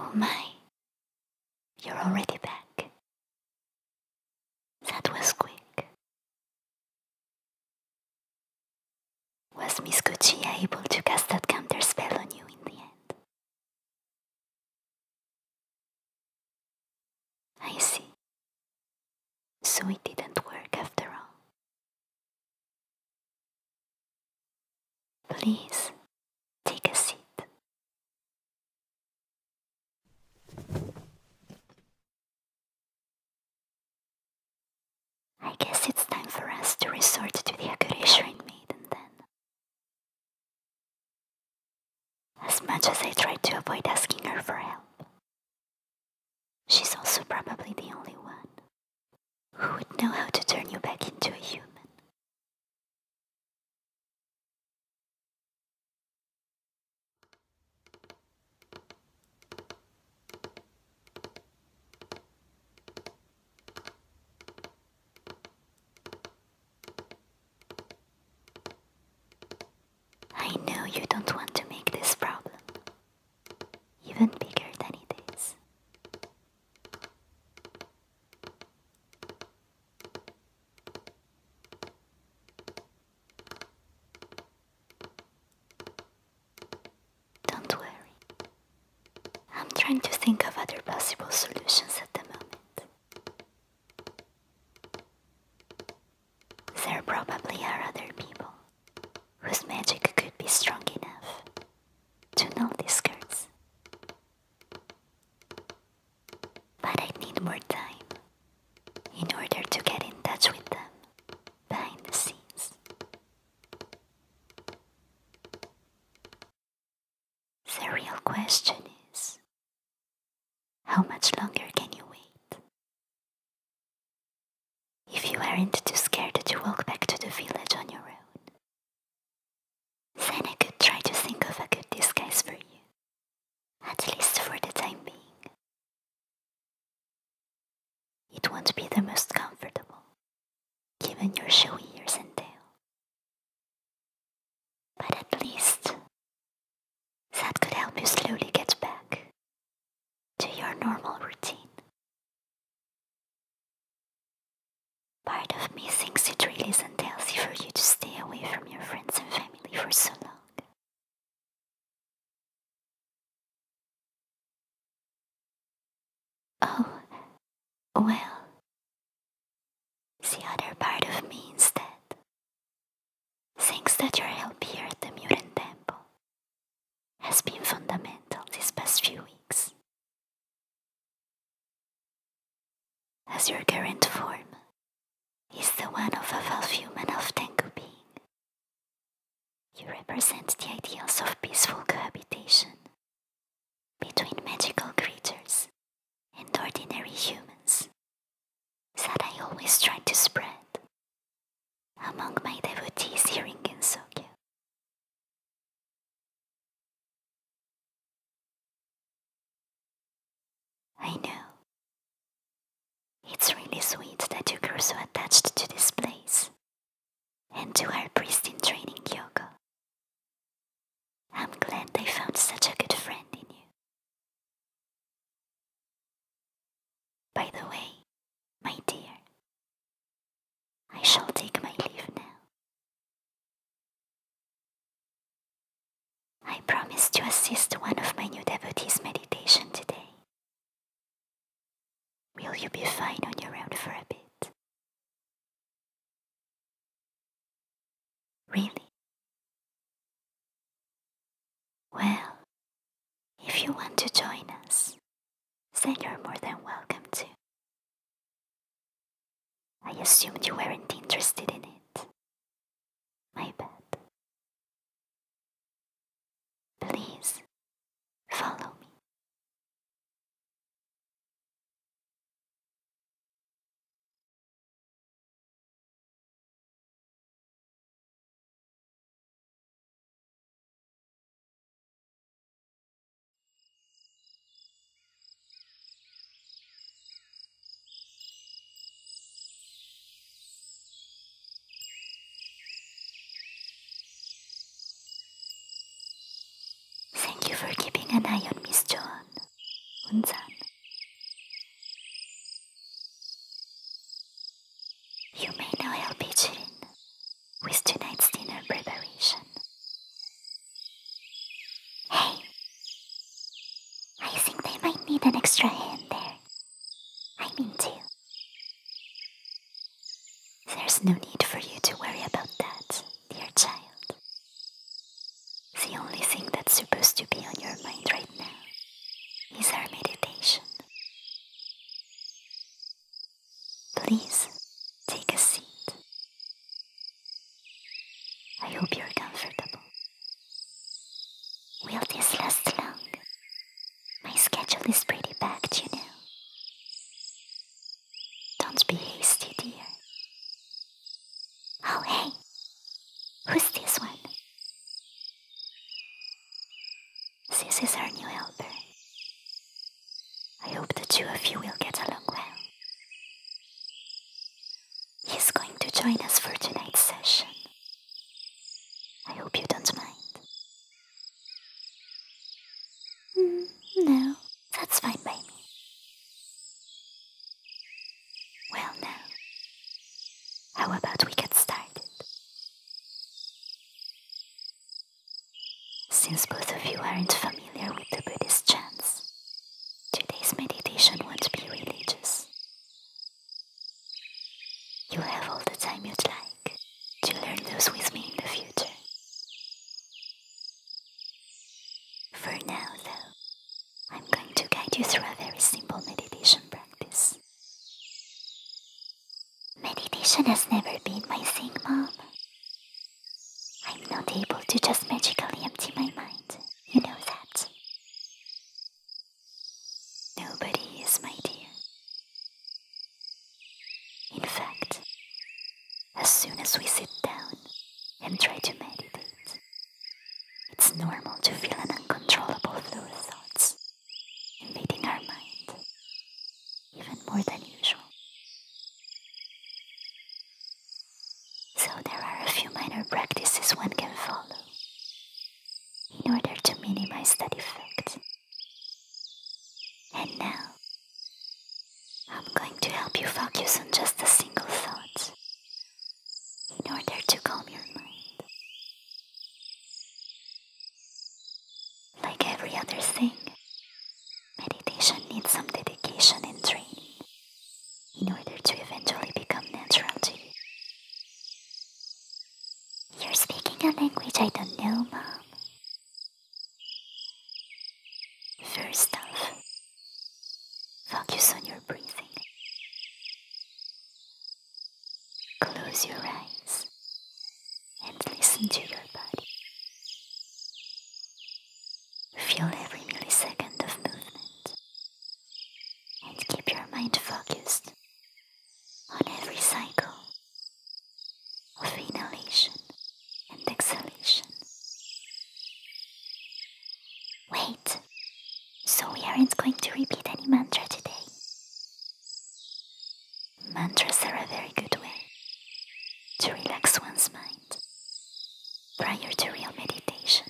Oh my, you're already back. That was quick. Was Miss Gucci able to cast that counter spell on you in the end? I see. So it didn't work after all. Please, take a seat. I guess it's time for us to resort to the Akurishrin maiden then. As much as I tried to avoid asking her for help, she's also probably the only one who would know how to turn you back into a human. I know you don't want to make this problem even bigger than it is. Don't worry. I'm trying to think of other possible solutions at the moment. There probably are other people whose magic could be strong enough to know these cards. But i need more time in order to get in touch with them behind the scenes. The real question is how much longer can you wait? If you aren't too scared to walk back to the village on your own, then I could try to think of a good disguise for you, at least for the time being. It won't be the most comfortable, given your showy ears and tail. But at least that could help you slowly get back to your normal routine. Part of me thinks it really isn't healthy for you to stay away from your friends and family for so long. Oh, well, the other part of me instead thinks that your help here at the Mutant Temple has been fundamental these past few weeks. As your current form is the one of a half and of Tengu being, you represent the ideals of peaceful cohabitation between magical creatures and ordinary humans that I always try to spread among my devotees here in Gensokyo. I know it's really sweet that you grew so attached to this place and to our pristine training, yoga. I'm glad they found such a good friend in you. By the way, my dear, I shall take my leave now. I promised to assist one of my new devotees' meditation today, Will you be fine on your own for a bit? Really? Well, if you want to join us, then you're more than welcome to. I assumed you weren't interested in it. My bad. Please follow me. Thank you for keeping an eye on Miss John. Unsan. You may now help Ichin with tonight's dinner preparation. Hey, I think they might need an extra hand there. I mean to. There's no need for you to worry about that, dear child. The only thing that's supposed to be on your mind right now is our meditation. Please take a seat. I hope you're comfortable. Will this last long? My schedule is pretty packed, you know. Don't be hasty, dear. Oh, hey! Who's this one? This is our new helper. I hope the two of you will get along well. He's going to join us for tonight's session. I hope you don't mind. Mm, no, that's fine baby. Well, now, how about we get started? Since both of you aren't familiar with the Buddhist chants, today's meditation won't be religious. You have all the time you'd like to learn those with me in the future. For now, though, I'm going to guide you through a very simple meditation practice. Meditation has never been my thing, Mom. I'm not able to just magically empty my mind. You know that. Nobody is, my dear. In fact, as soon as we sit down and try to meditate, it's normal to feel an uncontrollable flow of thoughts invading our mind, even more than usual. So there are a few minor practices one can follow in order to minimize that effect. And now, I'm going to help you focus on just a single thought in order to calm your mind. Like every other thing, meditation needs some dedication and training in order to eventually become natural to you. You're speaking a language I don't know, Mom. First off, focus on your breathing. Close your eyes and listen to your body. Feel every millisecond of movement and keep your mind focused on every cycle of inhalation and exhalation. Wait, so we aren't going to repeat any mantra today. Mantras are a very good way to relax one's mind prior to real meditation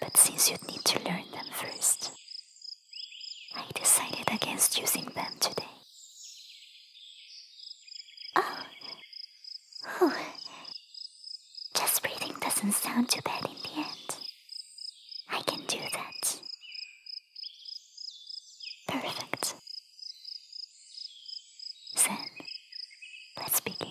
but since you'd need to learn them first, I decided against using them today. Oh. Whew. Oh. Just breathing doesn't sound too bad in the end. I can do that. Perfect. Zen. Let's begin.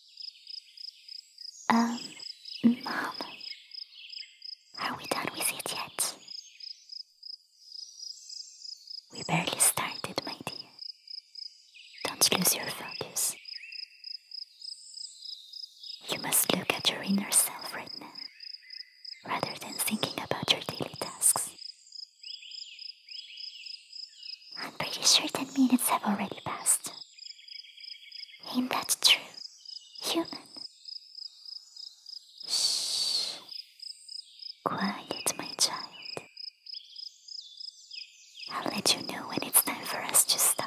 Um, Mom, are we done with it yet? We barely started, my dear. Don't lose your focus. You must look at your inner self right now, rather than thinking about your daily tasks. I'm pretty sure 10 minutes have already passed. Ain't that true, human? Shh. Quiet, my child. I'll let you know when it's time for us to stop.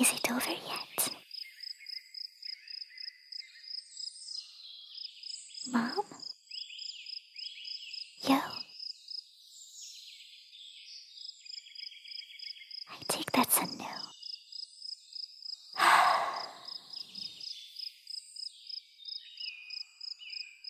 Is it over yet? Mom? Yo. I take that's a no.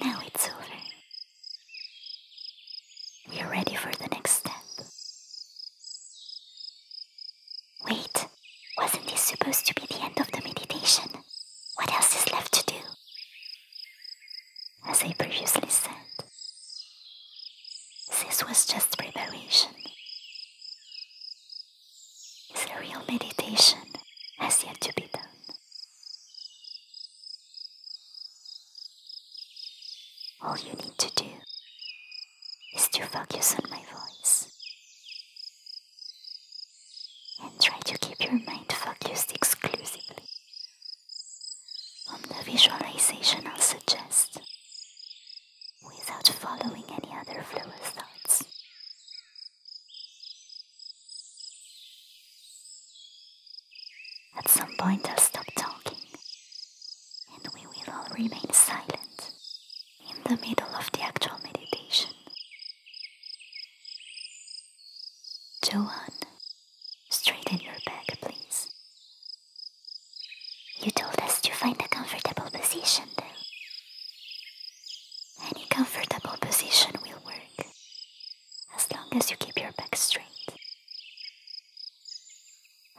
Now it's over. We are ready for the next step. Wait, wasn't this supposed to be the end of the meditation? What else is left to do? As I previously said, this was just preparation. The real meditation has yet to be done. All you need to do is to focus on my voice and try to keep your mind focused exclusively on the visualization i suggest without following any other frivolous thoughts. At some point, I'll stop talking, and we will all remain silent in the middle of the actual meditation. Johan, straighten your back, please. You told us to find a comfortable position, Any comfortable position will work, as long as you keep your back straight.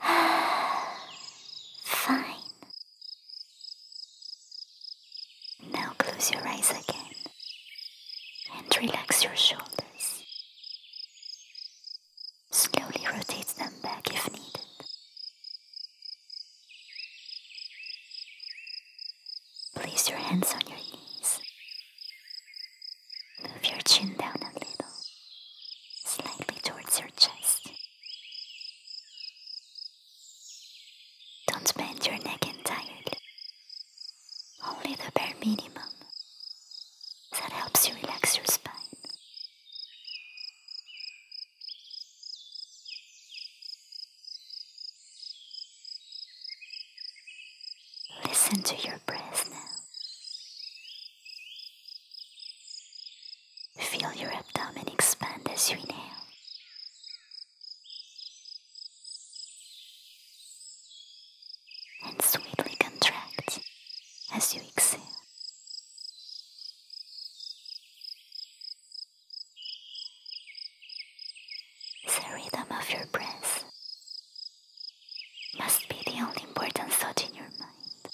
Fine. Now close your eyes again and relax your shoulders. Slowly rotate them back if needed. Place your hands on your knees. Move your chin down a little, slightly towards your chest. Don't bend your neck entirely, only the bare minimum. That helps you relax your spine. Listen to your breath now. Feel your abdomen expand as you inhale. And sweetly contract as you exhale. The rhythm of your breath must be the only important thought in your mind.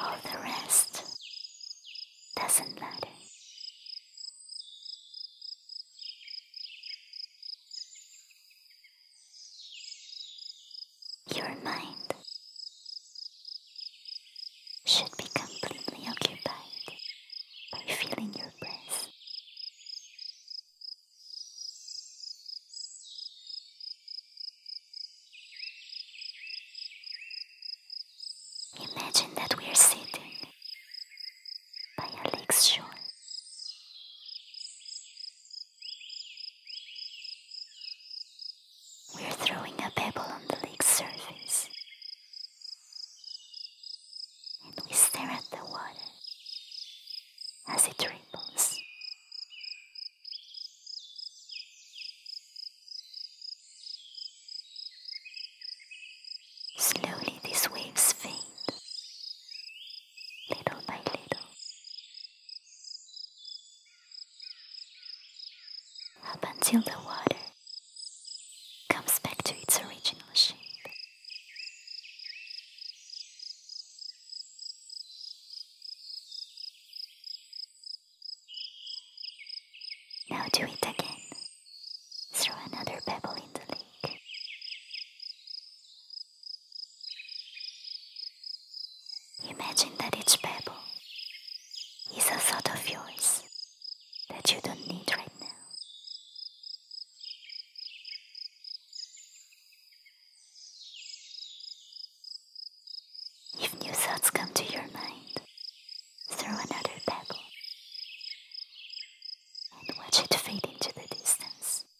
All the rest doesn't matter. Your mind should be completely occupied by feeling your breath. Imagine that we are sitting by a lake's shore. We're throwing a pebble on the lake's surface. And we stare at the water as it ripples. Slowly these waves fade little by little. Up until the water comes back to its original shape. Now do it again. Throw another pebble in the lake. Imagine that each pebble is a thought of yours that you don't need right now. If new thoughts come to your mind, throw another pebble and watch it fade into the distance us.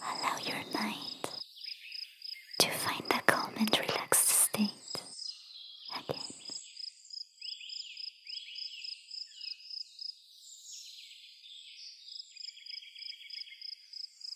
Allow your mind to find a calm and relaxed state again.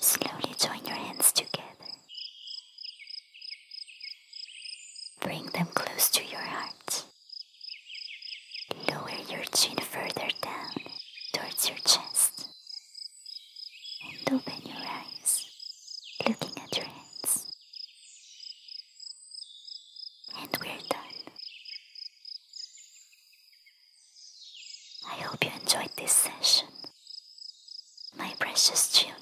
Slowly join your hands together. Bring them close to your heart. Lower your chin further down towards your chest. And open your eyes, looking at your hands. And we're done. I hope you enjoyed this session, my precious children.